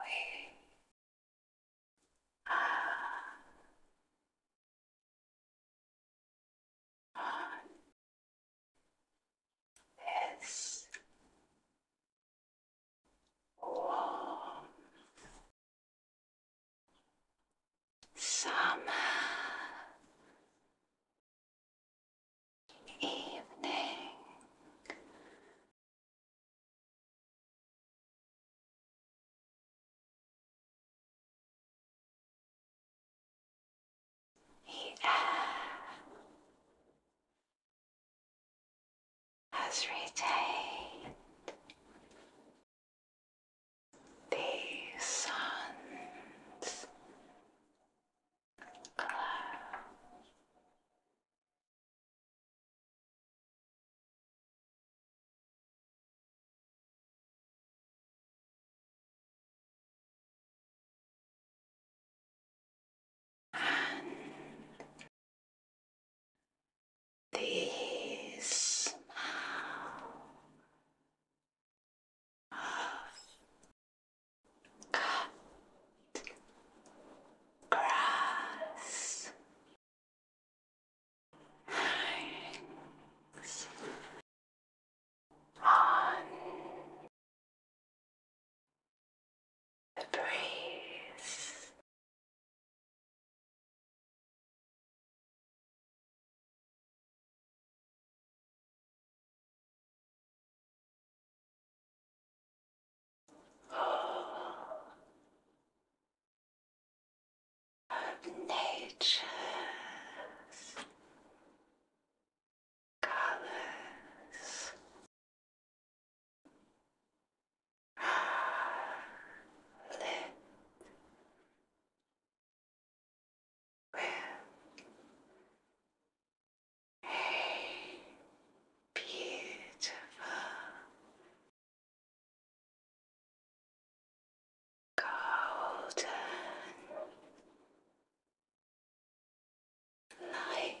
we are on this warm Summer evening. The has retained the sun. glow the smell of cut grass hangs on the breeze. Nature's colors live a beautiful golden light.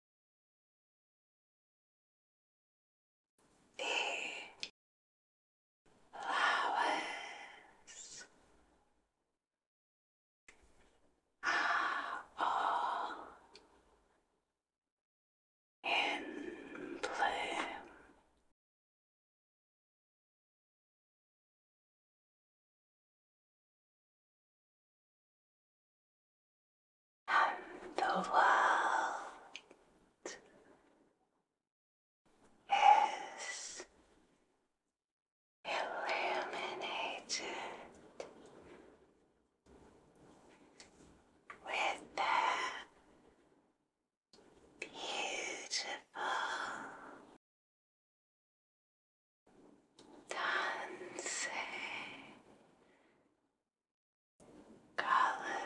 the flowers are all in bloom and the world is illuminated with their beautiful dancing colors.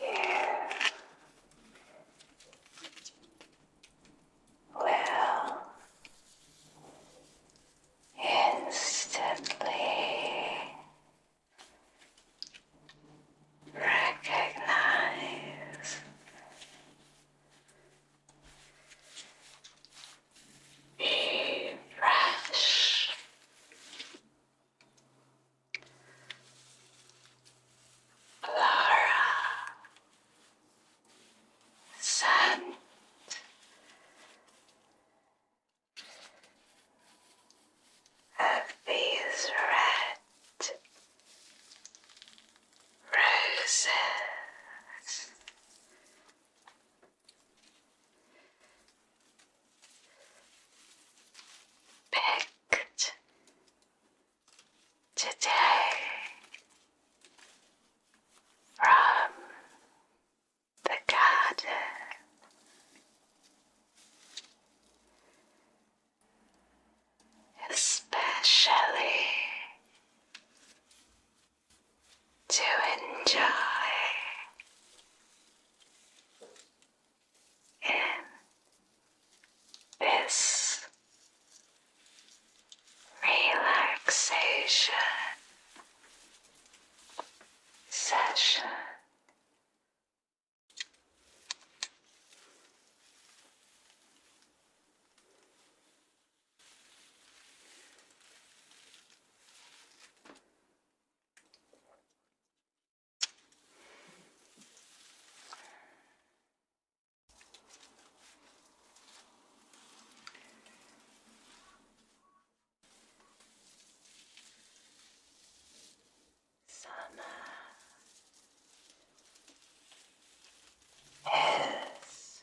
You will instantly recognize the Laura sent of red roses Picked today from the garden. Especially to enjoy in this relaxation session. Summer is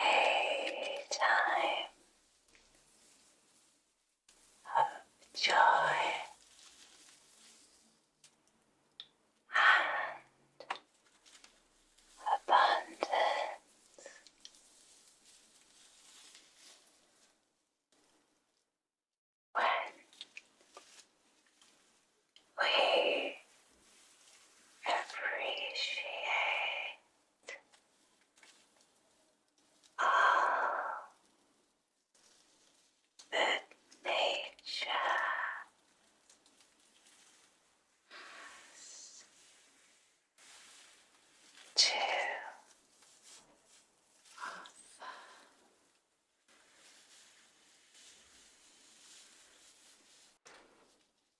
a time of joy and abundance. When we appreciate all good nature. To offer.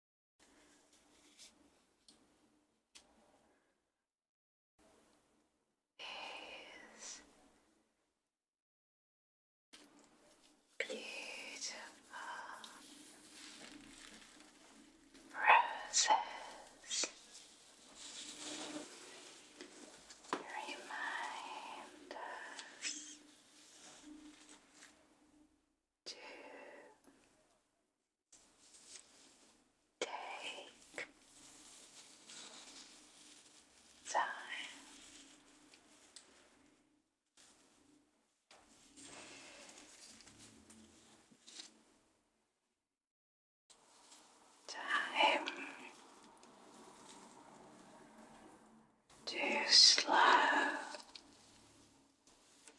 is beautiful roses remind us to Take time time to slow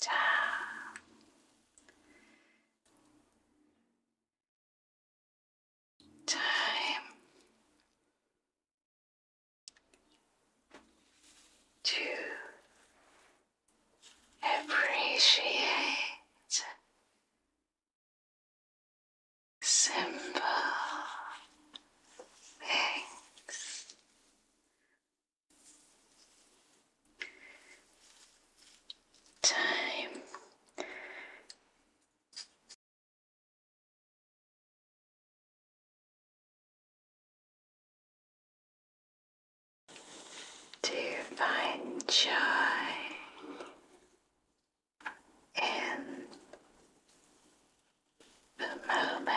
down time. To appreciate simple things time to find joy in the moment.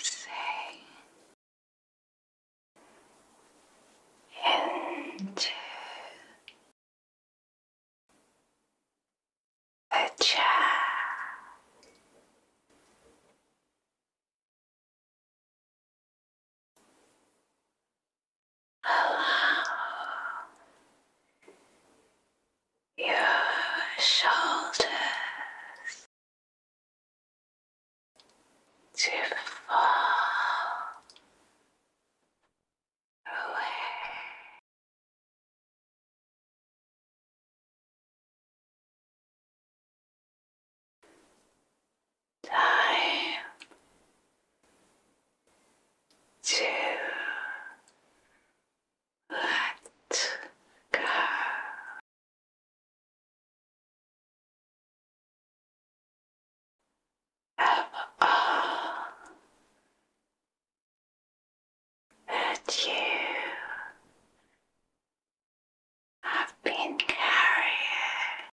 Say into the chair. Allow your shoulders to fall away. Time to let go. Of all that you have been carrying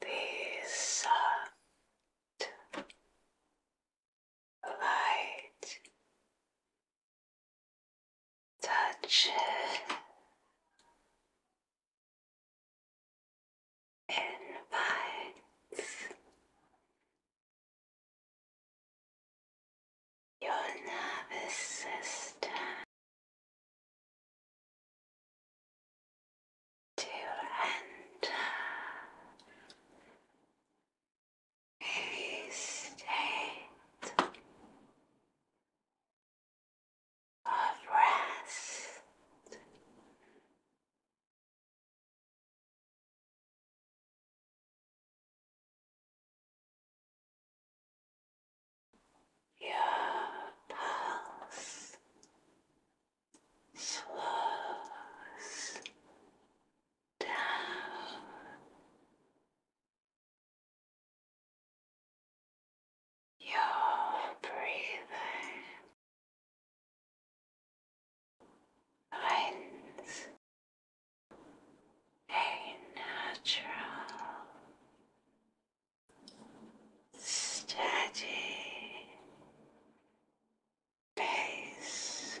This soft light touches invites your nervous system to enter a state of rest. Your pulse slows down. Your breathing finds a natural steady pace.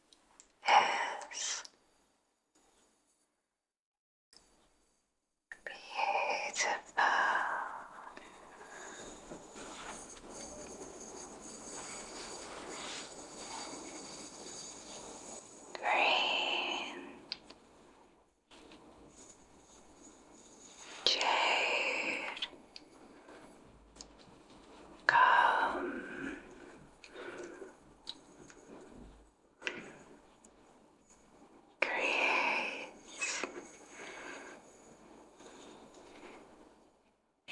is beautiful. Green, jade, Come, Create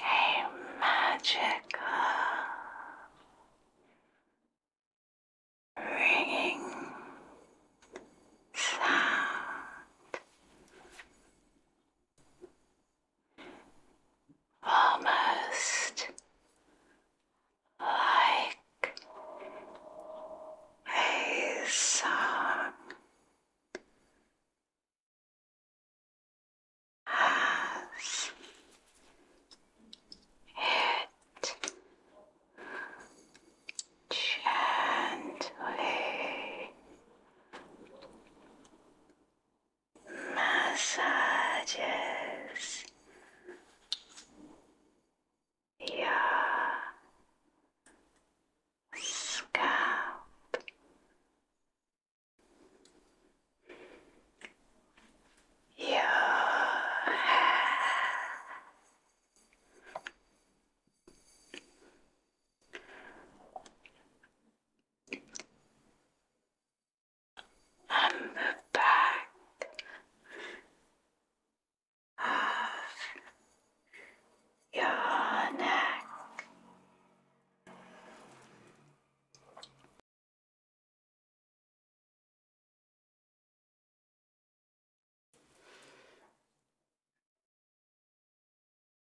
a magical ringing sound almost like a song as it gently massages. Your scalp your hair I'm the back of your neck.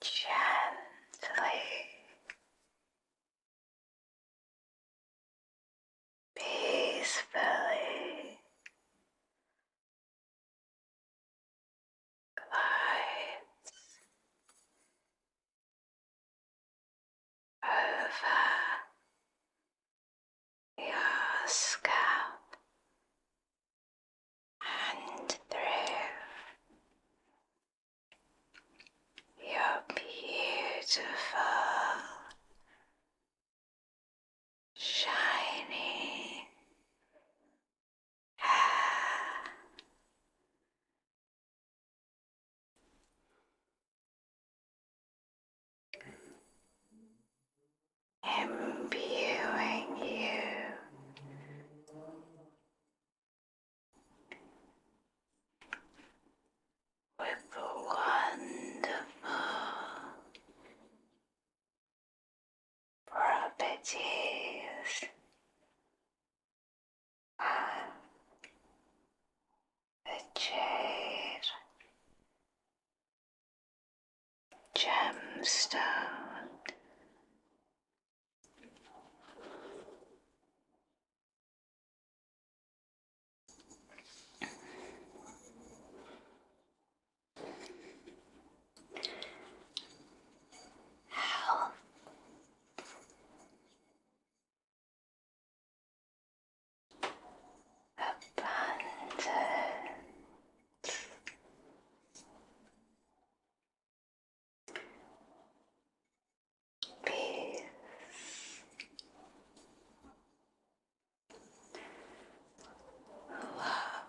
Gently peacefully glides over your scalp and through your beautiful shiny hair imbuing you with wonderful properties and the gemstone How abundance, peace, love.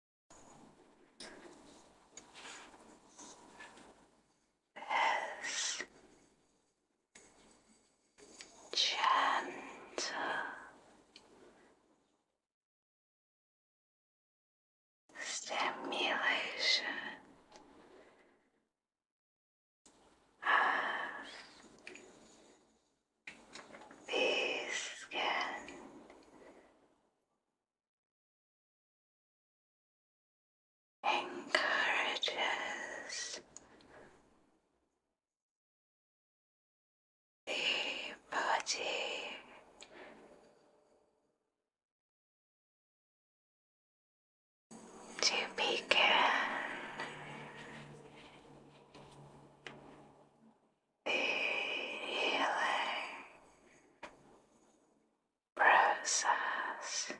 is gentle, stimulation of the skin encourages the body to begin the healing process.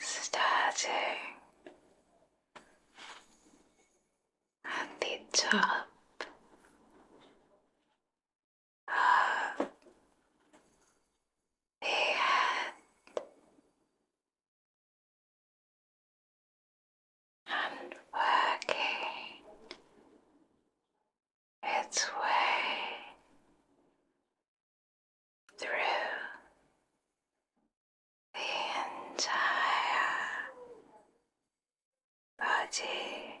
Starting at the top of the head and working its way through the entire body.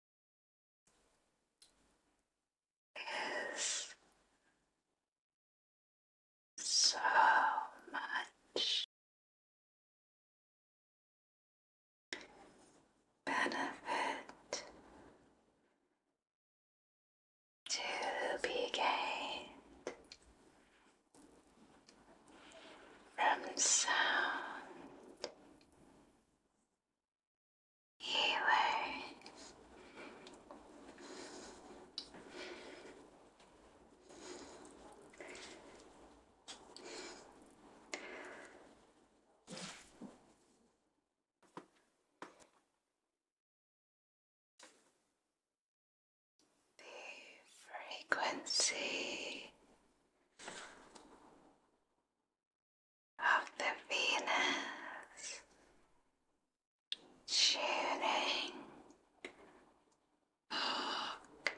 is so much benefit to be gained from sound. You the frequency of the Venus, tuning arc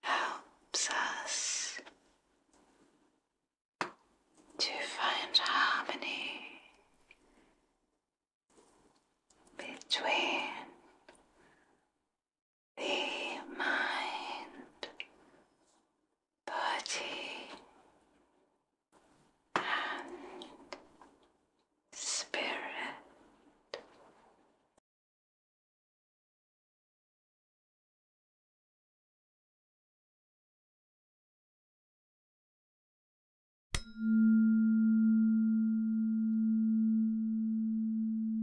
helps us to find harmony between the mind, body, and spirit.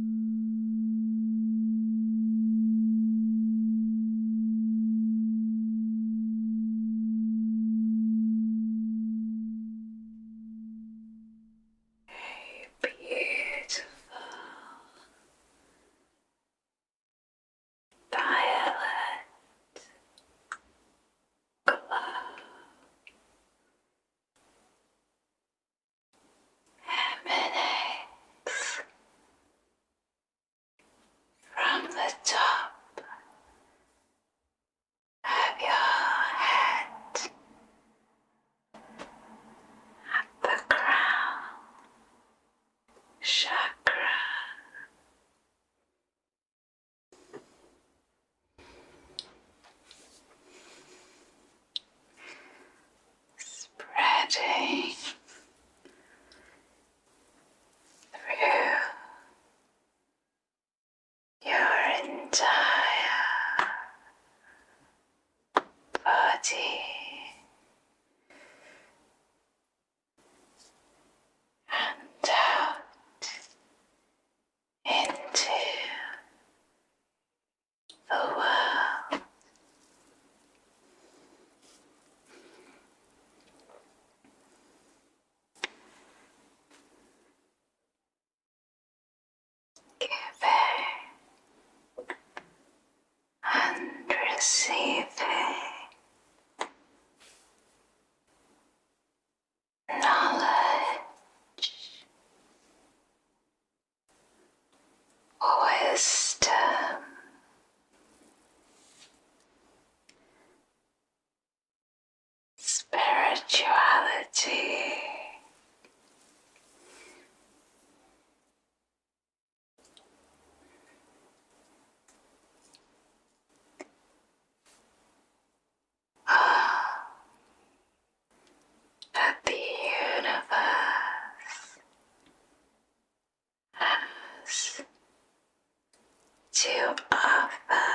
Hey, beautiful violet glow emanates from the top of your head at the crown chakra spreading through your entire body. And out into Oh wow. Giving and receiving knowledge wisdom. Spirituality, oh, that the universe has to offer.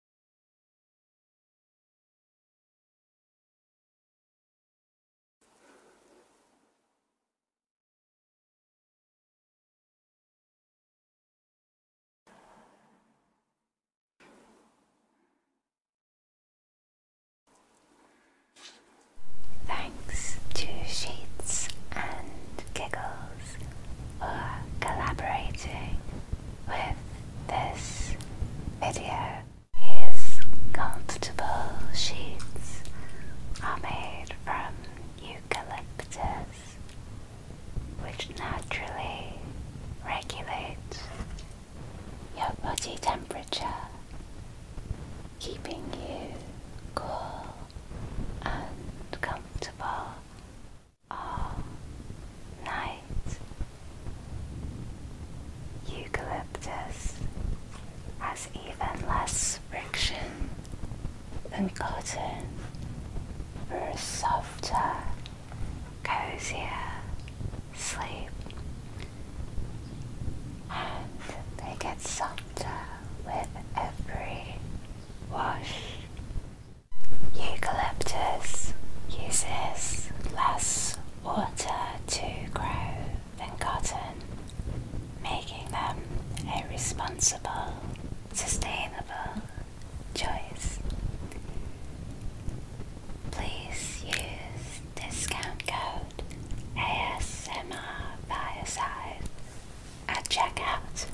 Thanks to Sheets and Giggles for collaborating with this video. These comfortable sheets are made from eucalyptus, which naturally regulates your body temperature, keeping you cool and comfortable all night Eucalyptus has even less friction than cotton for a softer, cozier sleep. And they get softer with every wash. Eucalyptus uses less water to grow than cotton, making them a responsible, sustainable choice. Please use discount code ASMR by size at checkout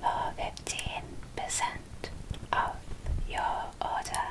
for 15% of your order.